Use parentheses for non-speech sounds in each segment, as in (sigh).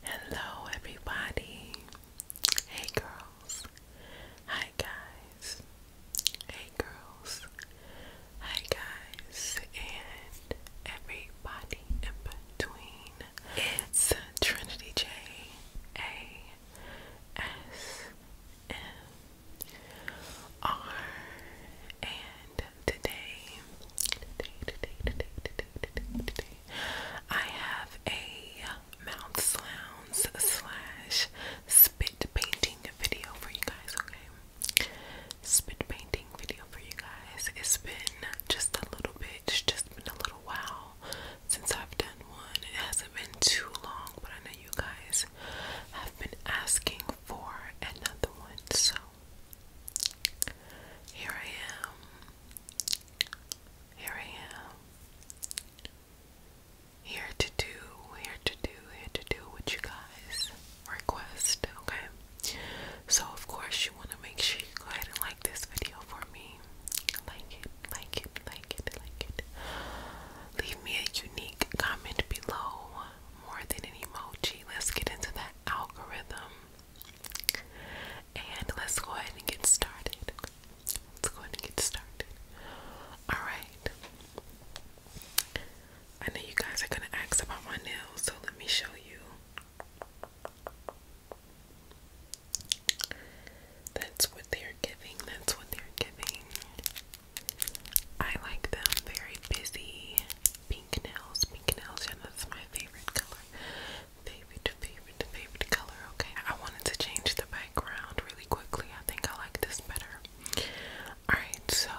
Hello, everybody. Hey, girls. Hi, guys. Hey, girls. Hi, guys. And everybody in between. It's Trinity J A S M R. And today I have a mouth sounds slash spit painting video for you guys, okay? Spit painting video for you guys. It's been just a little bit, it's just been a little while since I've done one. It hasn't been too long, but I know you guys have been asking for another one, so here I am here I am. Here to do, here to do, here to do what you guys request, okay? So, of course, you want to make sure you go ahead and like this video for me. Like it, like it, like it, like it. Leave me a unique comment below more than an emoji. Let's get into that algorithm. And let's go ahead and get started. Let's go ahead and get started. Alright. I know you guys are gonna ask about my nails, so let me show you. That's what they're giving. That's what they're giving. I like them very busy. Pink nails. Pink nails. Yeah, that's my favorite color favorite, favorite, favorite color, okay? I wanted to change the background really quickly. I think I like this better. Alright, so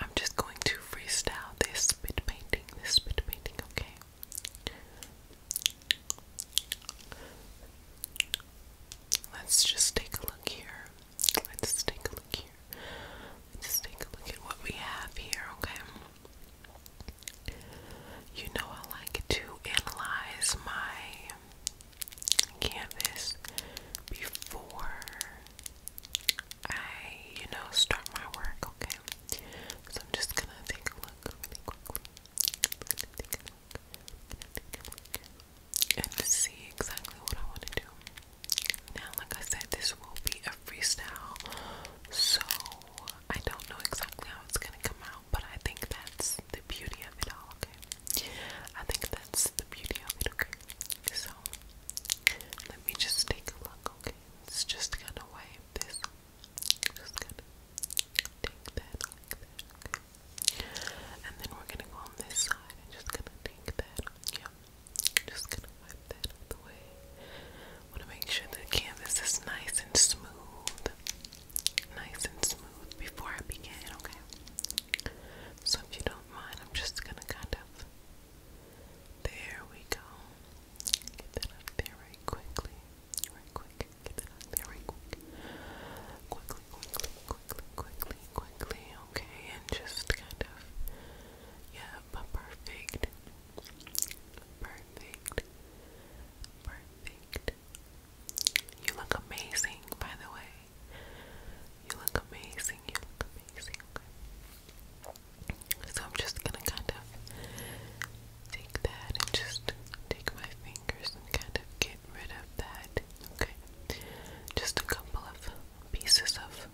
I'm just going to freestyle this spit painting, this spit painting, okay? Let's just take a look here. Let's take a look here here. take a look at what we have here, okay? You know, I like to analyze my canvas before I, you know, start my work, okay? So I'm just gonna take a look really quickly. take a look. take a look. And see exactly what I want to do. Now, like I said, this will be a freestyle, so I don't know exactly how it's gonna come out, but I think that's the beauty of it all, okay? I think that's the beauty of it, okay? So, let me just take a look, okay? It's just gonna wave this. Just gonna take that like that, And then we're gonna go on this side and just gonna take that. Yep. Just gonna wipe that out the way. Wanna make sure the canvas is nice and smooth. Nice and smooth before I begin, okay? So if you don't mind, I'm just gonna kind of there we go. Get that up there right quickly. Right quick. Get that up there right Quickly, quickly, quickly, quickly, quickly. Okay, and just kind of yeah, but perfect, perfect, perfect. You look amazing, by the way. You look amazing. You look amazing. So I'm just gonna kind of take that and just take my fingers and kind of get rid of that. Okay. Just a couple of pieces of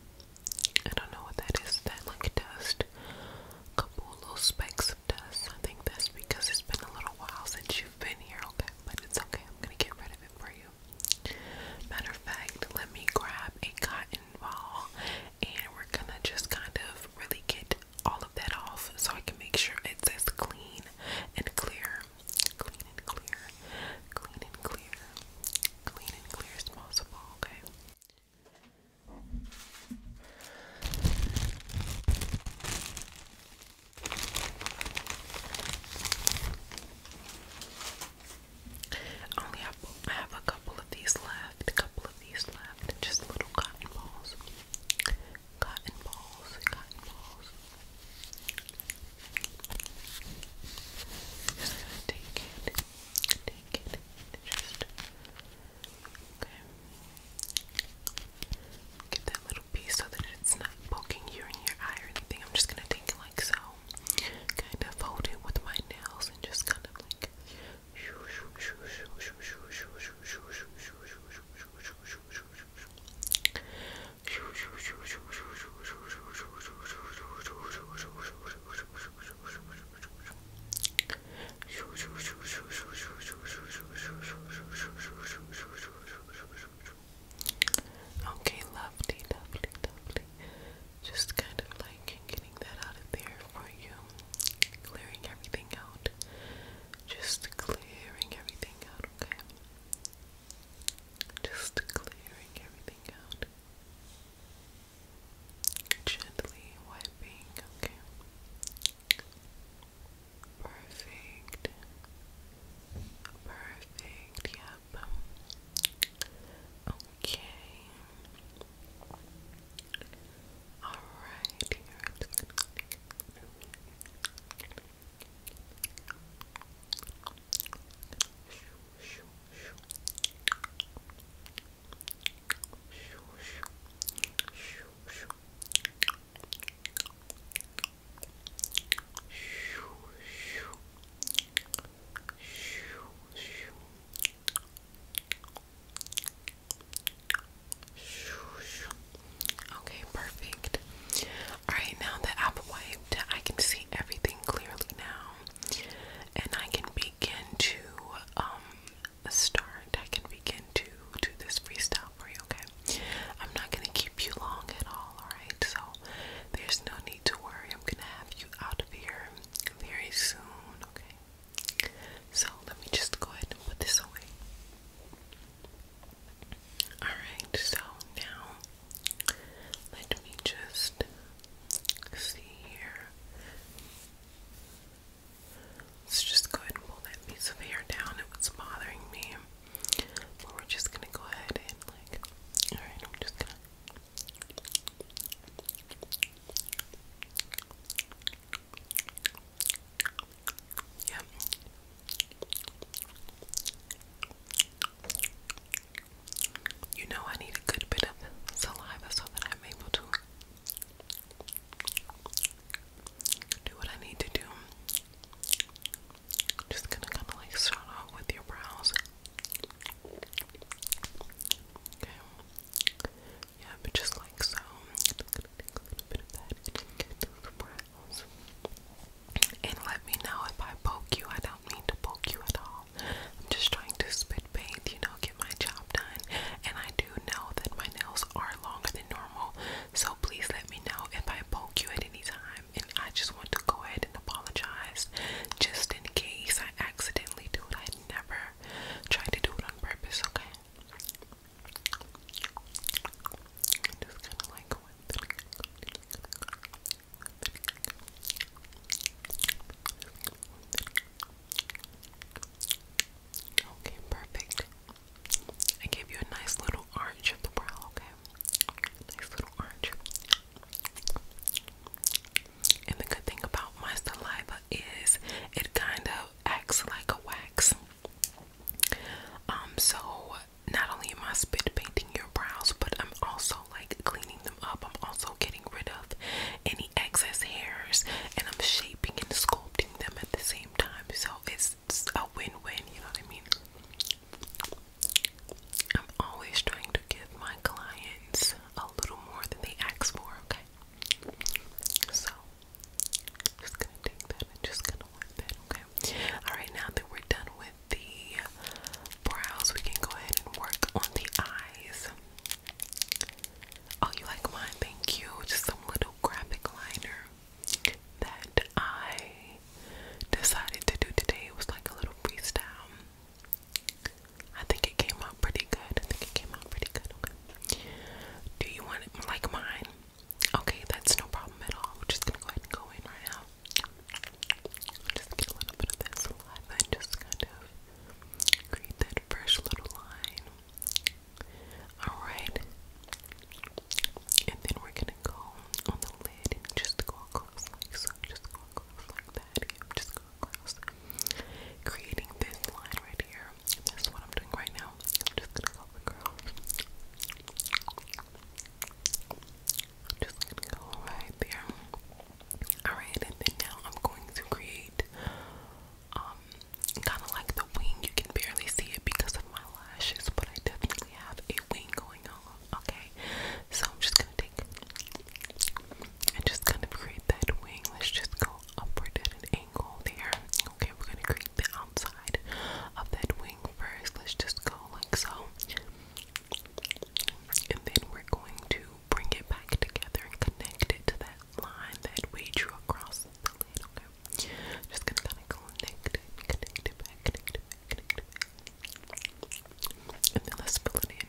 I don't know what that is. That like dust, a couple little specks of dust. I think that's because it's been a little while since you've been here. Okay, but it's okay. I'm gonna get rid of it for you. Matter of fact, let me grab a cotton ball, and we're gonna just kind of really get all of that off, so I can make sure it's as clean and clear, clean and clear, clean and clear clean and clear as possible, okay? only have, I have a couple of these left, a couple of these left, just little cotton balls. Cotton balls, cotton balls. Just gonna take it take it just okay get that little piece so that it's not poking you in your eye or anything I'm just gonna take it like so kind of fold it with my nails and just kind of like (laughs) Okay, lovely, lovely, lovely. Just kind of like getting that out of there for you, clearing everything out. Just clearing everything out, okay? Just clearing everything out. Gently wiping, okay. Perfect. Perfect, yep. Okay. Alright, Okay, perfect. All right, now that I've wiped, I can see everything clearly now and I can begin to um start. I can begin to do this freestyle for you, okay? I'm not gonna keep you long at all, alright? So there's no need to worry. I'm gonna have you out of here very soon, okay? So let me just go ahead and put this away. Alright, so now let me just see here. Let's just go ahead and pull that piece of hair down. It was bothering me. But we're just gonna go ahead and like alright, I'm just gonna Yep. You know I need a good bit of saliva so that I'm able to do what I need to do. Just gonna kind of like start off with your brows. Yeah, but just like so. a little bit of that and get brows. And let me know if I poke you. I mean to poke you at all. I'm just trying to spit paint, you know, get my job done. And I do know that my nails are longer than normal, so please let me know if I poke you at any time. And I just want to go ahead and apologize just in case I accidentally do it. I never tried to do it on purpose, okay? Okay, perfect. I gave you a nice little arch of the brow, okay? Nice little arch. And the good thing about my saliva is it kind of acts like a wax. Um, so not only am I spit painting your brows, but I'm also like cleaning them up. I'm also getting rid of any excess hairs and I'm shaping and sculpting them at the same time. So it's a win-win, you know what I mean? I'm always trying to give my clients a little more than they ask for, okay? So just gonna take that just gonna wipe that, okay? Alright, now that we're done with the brows, we can go ahead and work on the eyes. Oh, you like mine? Thank you. Just some little graphic liner that I decided to do today. It was like a little freestyle. I think it came out pretty good. I think it came out pretty good. Do you want it like mine? Okay, that's no problem at all. We're just gonna go ahead and go in right now. Just get a little bit of this saliva and just kind of create that fresh little line. Alright. And then we're gonna go on the lid and just go across like so. Just go across like that. just go across. Creating this line right here. And what I'm doing right now. I'm just gonna go across just gonna go right there. Alright, and then now I'm going to create um kind of like the wing. You can barely see it because of my lashes, but I definitely have a wing going on. Okay, so I'm just gonna take and just kind of create that wing. Let's just go upward at an angle there. Okay, we're gonna create the outside of that wing first. Let's just go like so. And then we're going to bring it back together and connect it to that line that we drew across the lid, okay? Just gonna kind of connect connect it back, connect it And then let's fill in.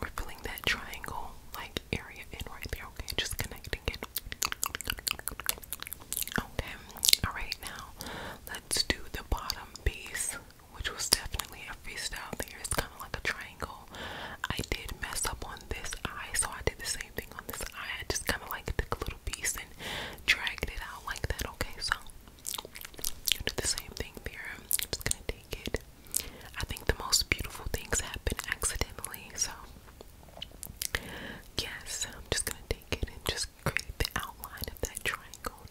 We're filling that triangle like area in right there, Just connecting it. Okay, alright, now let's do the bottom piece, which was definitely a freestyle there. It's kind of like a triangle. I did mess up on this eye, so I did the same thing on this eye. just kind of like took a little piece and dragged it out like that. Okay, so do the same thing there. I'm just gonna take it. I think the most beautiful things happen accidentally, so yes, I'm just gonna take it and just create the outline of that triangle.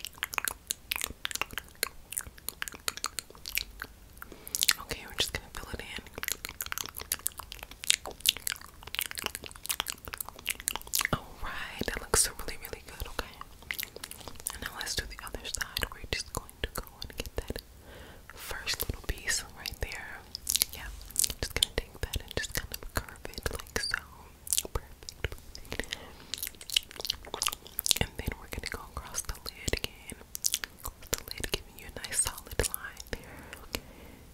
Okay, we're just gonna fill it in. Alright, that looks really, really good, okay? And now let's do the other side. We're just going to go and get that first little piece right there. Yeah, just gonna take that and just kind of curve it like so. And then we're gonna go across the lid again. Across the lid, giving you a nice solid line there.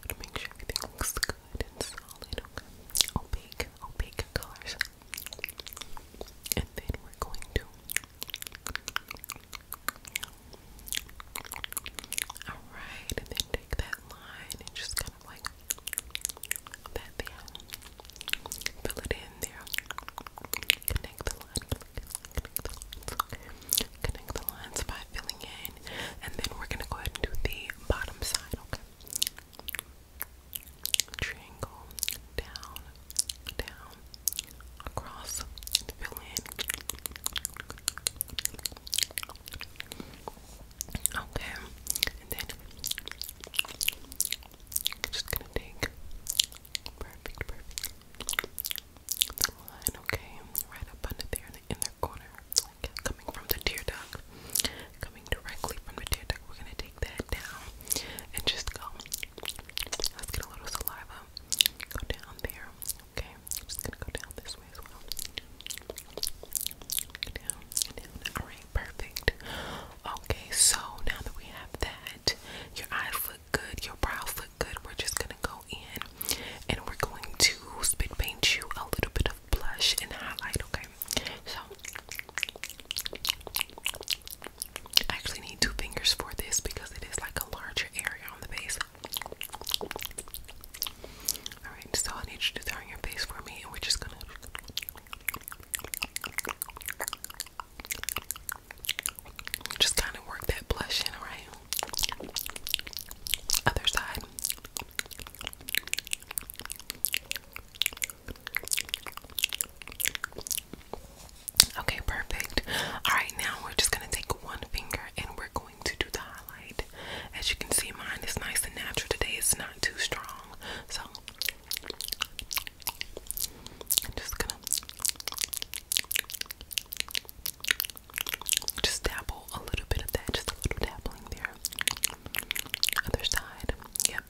To make sure everything looks good solid. Opaque, opaque colors. And then we're going to Alright, and then take that line and just kind of like Fill it in there. Connect the lines. Connect the lines by filling in, and then we're gonna go ahead and do the bottom side. Okay. Triangle down, down, across, fill in. Okay, and then I'm just gonna take perfect, perfect line, okay, right up under there in the inner corner, coming from the tear duct, coming directly from the tear duct. We're gonna take that down and just go. Let's get a little saliva. down there, okay. just gonna go down this way as well. Alright, perfect. Okay, so now that we have that, your eyes look good, your brows look good. We're just gonna go in and we're going to spit paint you a little bit of blush and highlight, okay? So I actually need two fingers for this because it is like a larger area on the base. Alright, so I need you to do your face for me, and we're just gonna. Just kind of work that blush in, alright? Other side. Okay, perfect. Alright, now we're just gonna take one finger and we're going to do the highlight. As you can see, mine is nice and natural today, it's not too strong. So just gonna just dabble a little bit of that, just a little dabbling there. Other side, yep.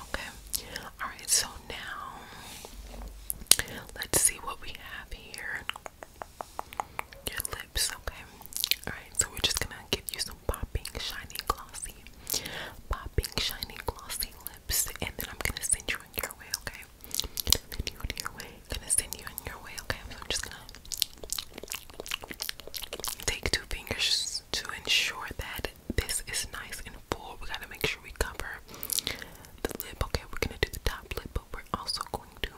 Okay. All right. So now let's see what we have here. Your lips, okay. Alright, so we're just gonna give you some popping, shiny, glossy, popping, shiny, glossy lips, and then I'm gonna send you on your way, okay? send you on your way. gonna send you on your way, okay? So I'm just gonna take two fingers to ensure that this is nice and full. We gotta make sure we cover the lip. Okay, we're gonna do the top lip, but we're also going to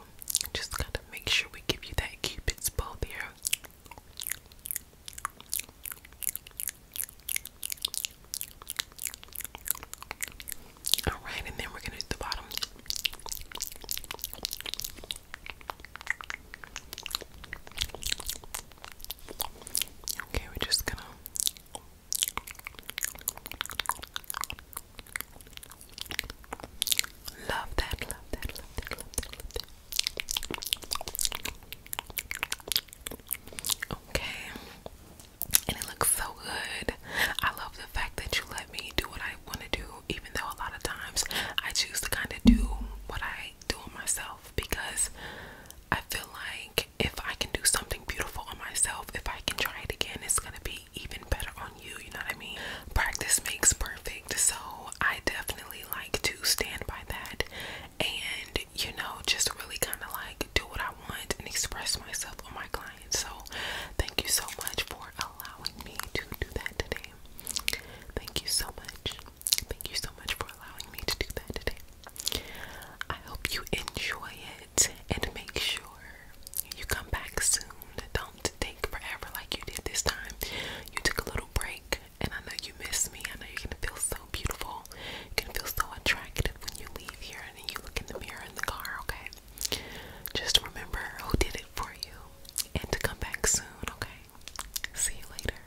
just kind of make sure we give you that cupid's bow there. All right, and then we're gonna do the bottom. Okay, we're just gonna Love that, love that, love that, love that, love that. Okay. And it looks so good. I love the fact that you let me do what I want to do, even though a lot of times I choose to kind of do what I do myself because I feel like if I can do something beautiful on myself, if I can try it again, it's gonna be even better on you. You know what I mean? Practice makes perfect. So I definitely like to stand by that and, you know, just really kind of like do what I want and express myself on my clients. So thank you so much for allowing me to do that today. Thank you so much. Thank you so much for allowing me to do that today. I hope you enjoy it and make sure you come back soon. Don't take forever like you did this time. You took a little break and I know you miss me. I know you're gonna feel so beautiful. You're gonna feel so attractive when you leave here and then you look in the mirror in the car, okay? Just remember who did it for you and to come back soon, okay? See you later.